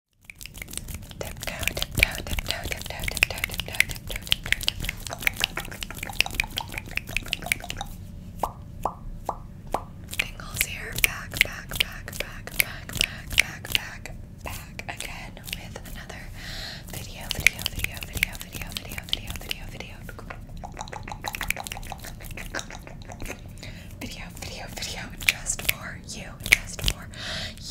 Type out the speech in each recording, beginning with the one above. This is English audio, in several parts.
Tiptoe, tiptoe, tiptoe, tiptoe, tiptoe, tiptoe, tiptoe, tiptoe. Tingles here. Back, back, back, back, back, back, back, back, back again with another video, video, video, video, video, video, video, video, video. Video, video, video, just for you, just for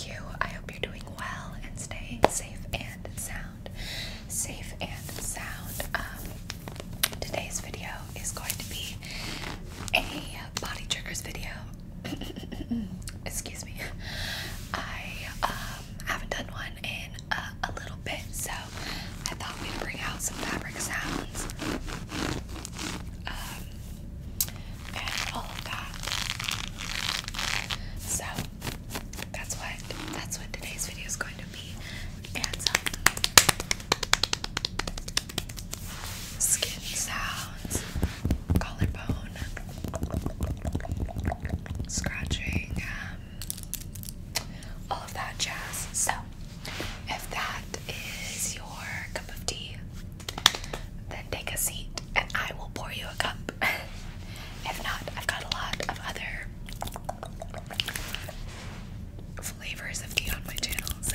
you. I hope you're doing well and stay safe and sound. Safe and sound. Um, today's video is going to be a body triggers video. Excuse me. I um, haven't done one in a, little bit, so I thought we'd bring out some fabric sounds. Um, and all of that. So that's what that's what today's video is going to be. And some um, skin sounds, collarbone, scratching, um, all of that jazz. So if that is your cup of tea, then take a seat and I will pour you a cup. if not, I've got a lot of other flavors of tea on my channel, so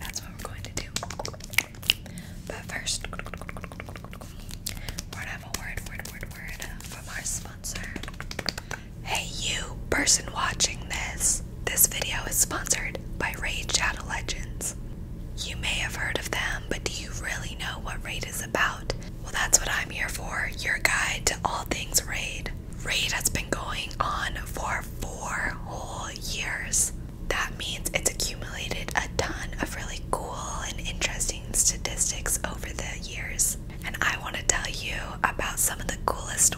that's what we're going to do. But first, word, word, word, word from our sponsor. Hey, you person watching this, this video is sponsored by Raid Shadow Legends. You may have heard of them, but do you really know what Raid is about? Well, that's what I'm here for your guide to all things Raid. Raid has been going on for four whole years. That means it's accumulated a ton of really cool and interesting statistics over the years. And I want to tell you about some of the coolest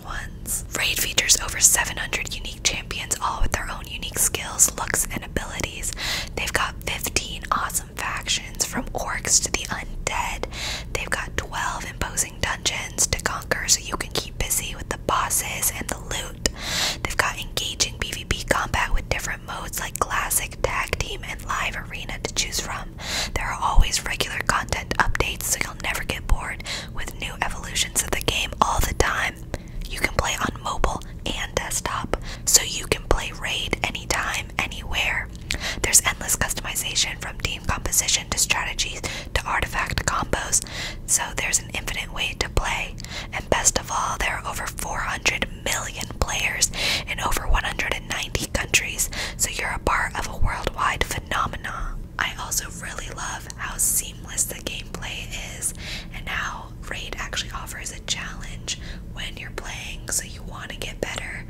Raid features over 700 unique champions, all with their own unique skills, looks, and abilities. They've got 15 awesome factions, from orcs to the undead. They've got 12 imposing dungeons to conquer so you can keep busy with the bosses and the loot. They've got engaging PvP combat with different modes like classic, tag team, and live arena to choose from. There are always regular content updates so you'll never get bored, with new evolutions of the game all the time. You can play on mobile and desktop, so you can play Raid anytime, anywhere. There's endless customization from team composition to strategies to artifact combos, so there's an infinite way to play. And best of all, there are over 400 million players in over 190 countries, so you're a part of a worldwide phenomenon. I also really love how seamless the gameplay is and how Raid actually offers a challenge when you're playing, so you want to get better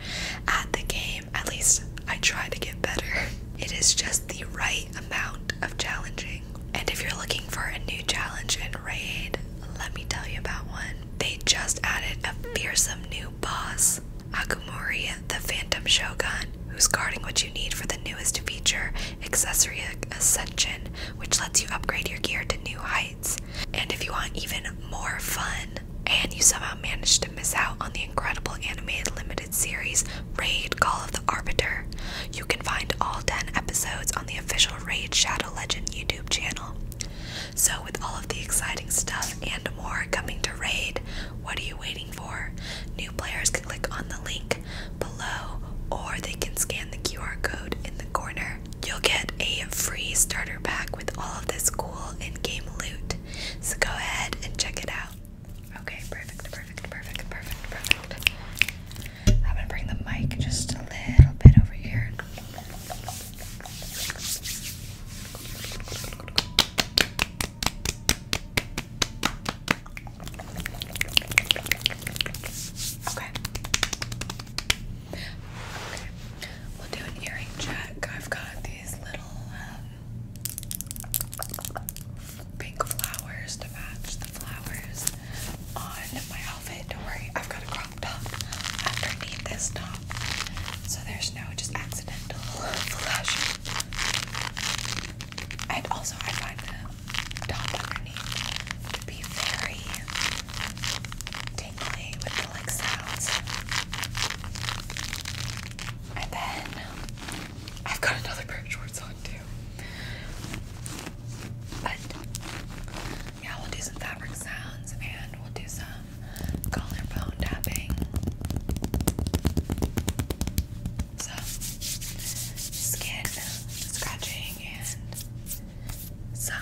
at the game. At least I try to get better. It is just the right amount of challenging. And if you're looking for a new challenge in Raid, let me tell you about one. They just added a fearsome new boss. Akumori the Phantom Shogun, who's guarding what you need for the newest feature, Accessory Ascension, which lets you upgrade your gear to new heights. And if you want even more fun, and you somehow managed to miss out on the incredible animated limited series Raid Call of the Arbiter, you can find all 10 episodes on the official Raid Shadow Legend YouTube channel. So, with all of the exciting stuff and more coming to Raid, what are you waiting for? New players can click on the link below, or they can scan the QR code in the corner. You'll get a free starter pack with all of this cool in game loot. So go ahead and check it out. Okay, perfect, perfect, perfect, perfect, perfect. I'm gonna bring the mic just a little bit over here. Okay. Okay. We'll do an earring check. I've got these little um, pink flowers to match the flowers on my outfit. Don't worry, I've got a crop top underneath this top. So there's no just accidental flash. And also, I find the top underneath to be very tingly with the like sounds. And then I've got another pair of shorts on too. But yeah, we'll do some fabric sounds and we'll do some collarbone tapping. So, skin scratching and some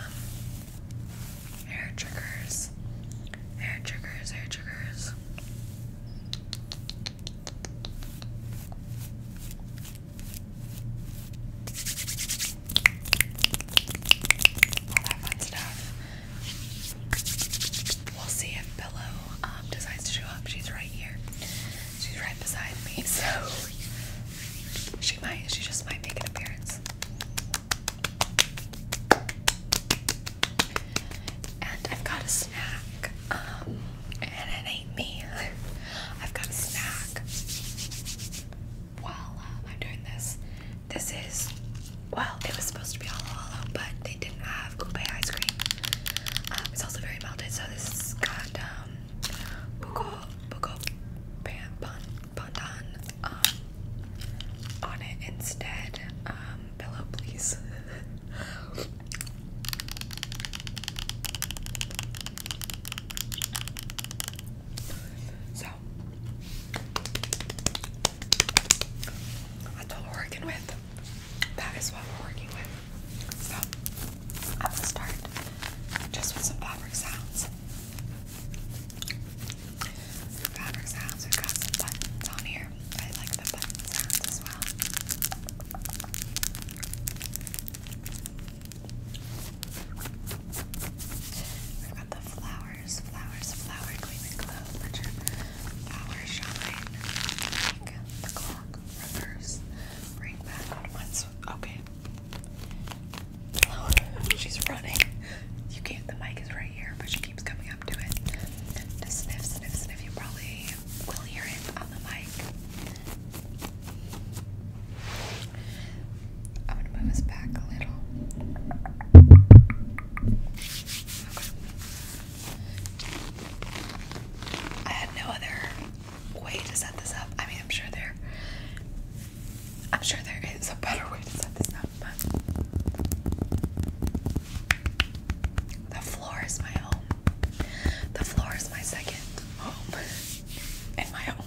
hair triggers, hair triggers, hair triggers. All that fun stuff we'll see if Pillow um, decides to show up. She's right here. She's right beside me, so she might. She just might make an appearance. And I've got a snack. Um, and it ain't me. I've got a snack. While uh, I'm doing this, this is well, it was supposed to be all hollow, but they did. I not have Coupe ice cream. Um, it's also very melted, so this is got um, buko, buko pan, pandan um, on it instead. Um, pillow, please. so that's what working with. That is what we're working with. So, I'm gonna start just with some fabric sounds. Fabric sounds, we've got some buttons on here. I like the button sounds as well. We've got the flowers, flowers, flower gleaming glow, which are flower the clock reverse. Bring back once. Okay. she's running. You can't. The mic is right here, but she keeps coming up to it. To sniff, sniff, sniff. You probably will hear it on the mic. I'm move us back a little. I had no other way to set this up. I mean, I'm sure there, I'm sure there is a better way to set this up, the floor is my home. The floor is my second home, and my home.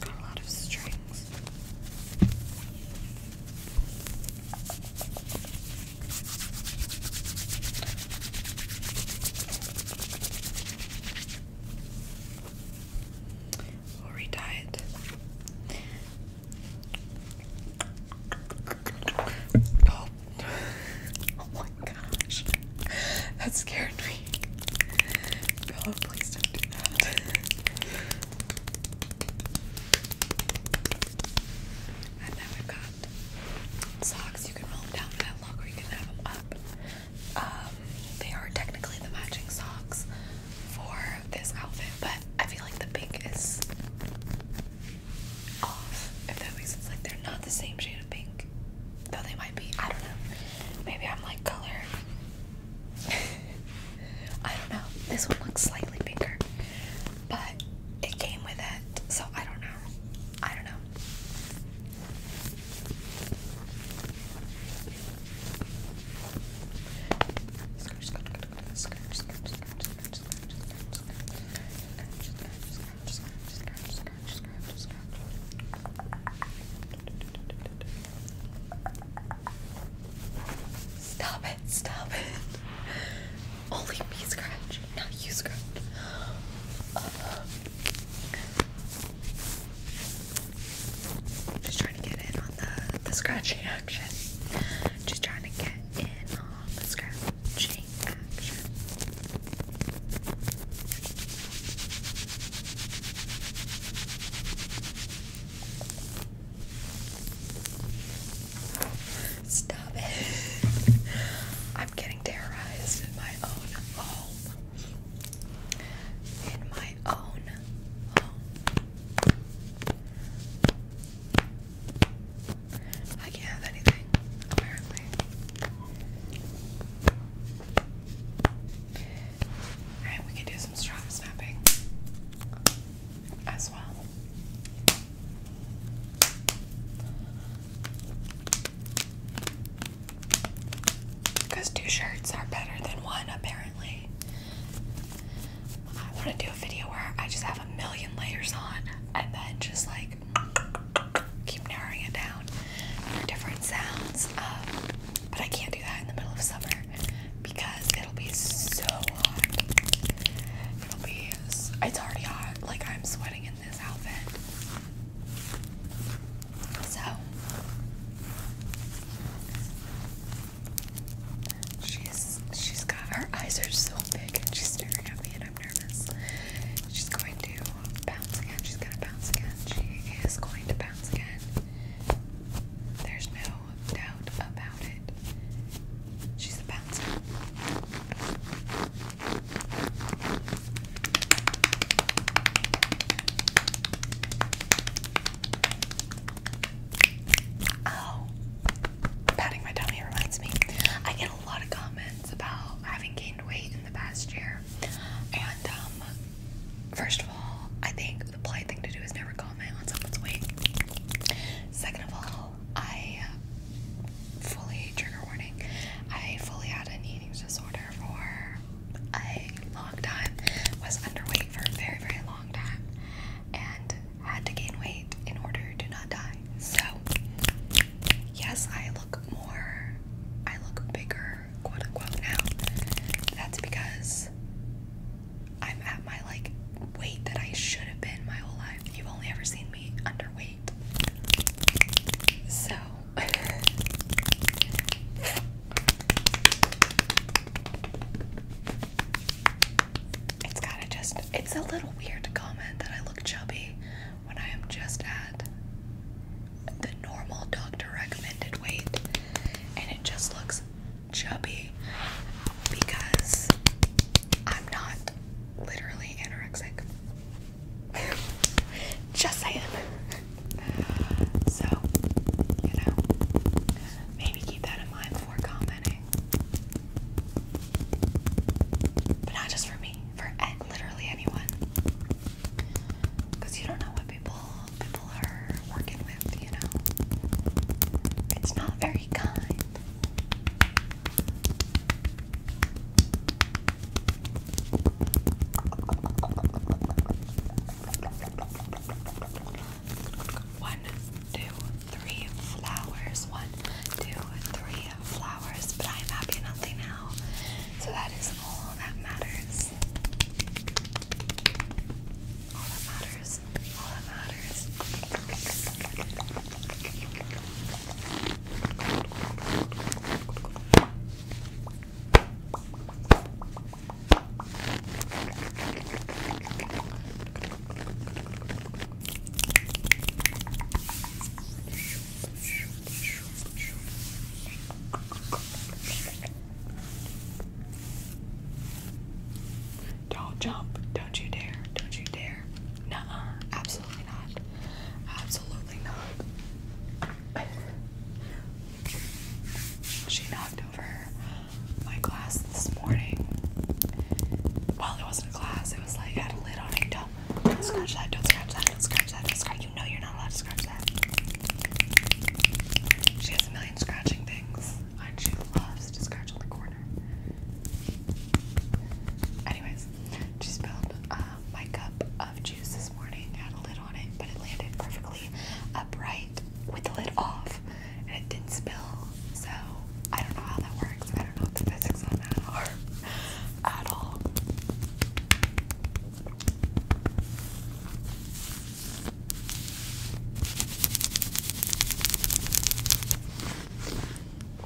got a lot of strings. We'll retie Oh. oh my gosh. That scared me. Bella, please don't do that. And now we got socks. You can roll them down that look or you can have them up. Um, they are technically the matching socks for this outfit, but I feel like the pink is off, if that makes sense. Like they're not the same shade of pink. Though they might be, I don't know. Maybe I'm like color I don't know. This one looks slightly bigger, but it came with it, so I don't know. I don't know. Stop it, stop it. Only me scratch, not you scratch. Uh, just trying to get in on the, the scratching action. Just trying to get in on the scratching action. Stop it. I'm getting terrorized in my own home. In my own home. I can't have anything, apparently. Alright, we can do do snapping as well. Because two shirts are better than one, apparently. I want to do a video where I just have a million layers on and then just like keep narrowing it down different sounds. Um, but I can't do that in the middle of summer because it'll be so hot. It'll be, it's already hot. Like I'm sweating in this outfit. So, she's, she's got, her eyes are so big and she's staring at me and I'm nervous. She's going to bounce again. She's gonna bounce again. She is going to bounce again. There's no doubt about it. She's a bouncer. Oh, patting my tummy reminds me. I get a lot of comments about having gained weight in the past year, and um, First of all, I think the polite thing to do is never comment on someone's weight. Second of all, I uh, fully, trigger warning, I fully had an eating disorder for a long time, was underweight for a very, very long time, and had to gain weight in order to not die. So, yes, I look more, I look bigger, quote unquote, now. That's because I'm at my like weight that I should have been my whole life. You've only ever seen me underweight. So it's kind of just it's a little weird to comment that I look chubby when I am just at the normal doctor recommended weight and it just looks chubby because I'm not literally anorexic. Just saying. So, you know, maybe keep that in mind before commenting. But not just for me, for literally anyone. Because you don't know what people people are working with, you know. It's not very kind. One, two, three flowers. One, two, three flowers. But I'm happy and now. So that is all that matters. All that matters. All that matters. Don't jump. Don't you dare. Don't you dare. Nuh Absolutely not. Absolutely not. she knocked over my glass this morning. Well, it wasn't a glass, it was like I had a lid on it. Don't, don't scratch that. Don't scratch that. Don't scratch that. Don't scratch. You know you're not allowed to scratch that. She has a million scratching things and she loves to scratch on the corner. Anyways, she spilled um, my cup of juice this morning, had a lid on it, but it landed perfectly upright with the lid off, and it didn't spill. So I don't know how that works. I don't know what the physics on that are at all.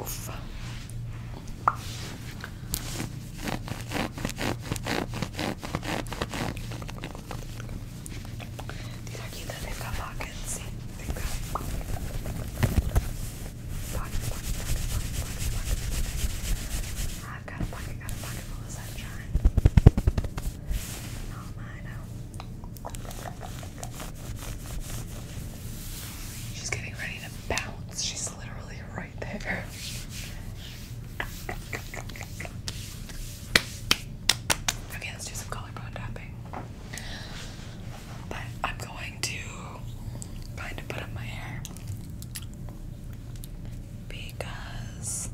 Oof. These are cute though, they've got pockets. they've got pockets, pockets, pockets, pockets, pockets, pockets. I've got a pocket, got a pocket full of sunshine. Not mine, I She's getting ready to bounce. She's literally right there. Okay, let's do some collarbone tapping. But I'm going to kind of put up my hair because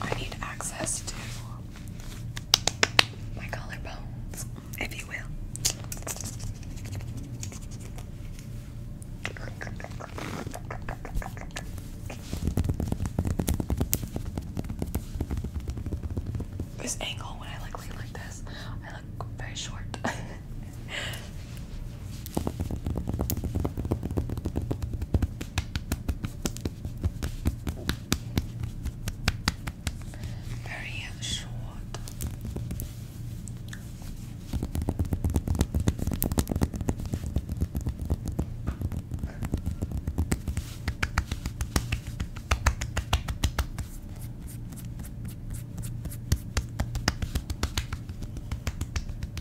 I need access to my collarbones, if you will. This angle when I like lean like this, I look very short. Very short.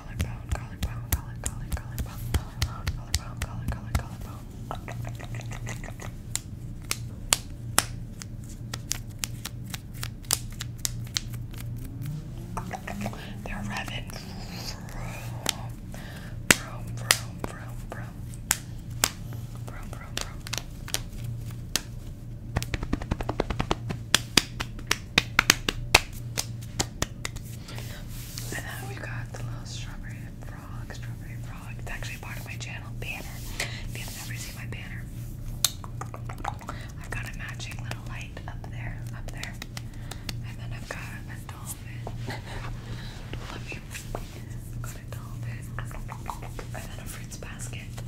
collarbone, collarbone, collarbone, collarbone, collarbone, collarbone, collarbone, collarbone, collarbone. They're revving. Vroom, vroom, vroom, vroom. Vroom, vroom, vroom. And then we got the little strawberry frog, strawberry frog. It's actually part of my channel banner. If you've never seen my banner, I've got a matching little light up there, up there. And then I've got a dolphin. Love you. got a dolphin. And then a fruits basket.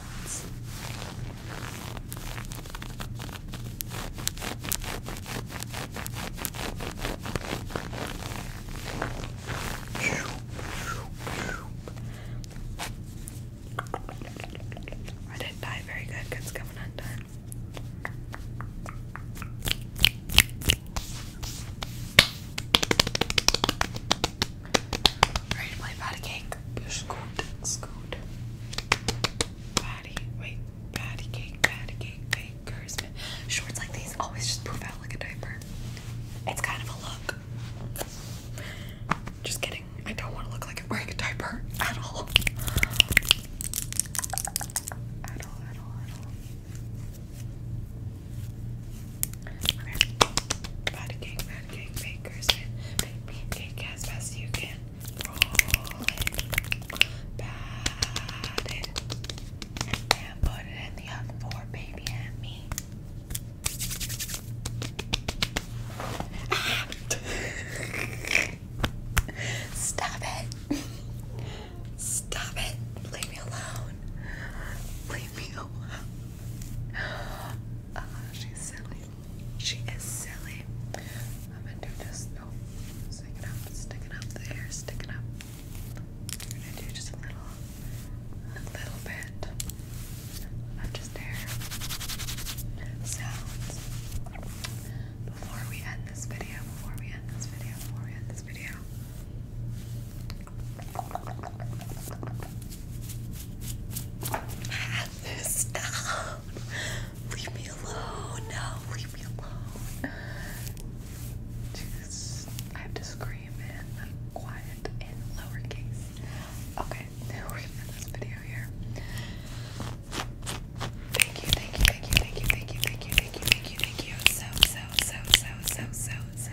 I didn't die very good because coming undone. Ready to play patty cake? Scoot, scoot. Patty, wait, patty cake, patty cake, cake, Shorts like these always just poof out like a diaper. It's kind of a look. Just kidding. I don't want to look like I'm wearing a diaper at all. At all, at all, at all. Patty cake, and cake bakers as best you can. Roll it, pat it, and put it in the oven for baby and me. Ah. Stop it. Stop it. Leave me alone. Leave me alone. Uh, she's silly. She is silly. I'm gonna do just no. stick it up, stick it up. The hair, stick it up. I'm gonna do just a little, a little bit of just hair sounds. Before we end this video, before we end this video, before we end this video, Pat this down. Leave me alone. No, leave me alone. Just, I have to scream in quiet in lowercase. Okay, now we're gonna end this video here. Thank you, thank you, thank you, thank you, thank you, thank you, thank you, thank you, thank you. So, so, so, so, so, so, so,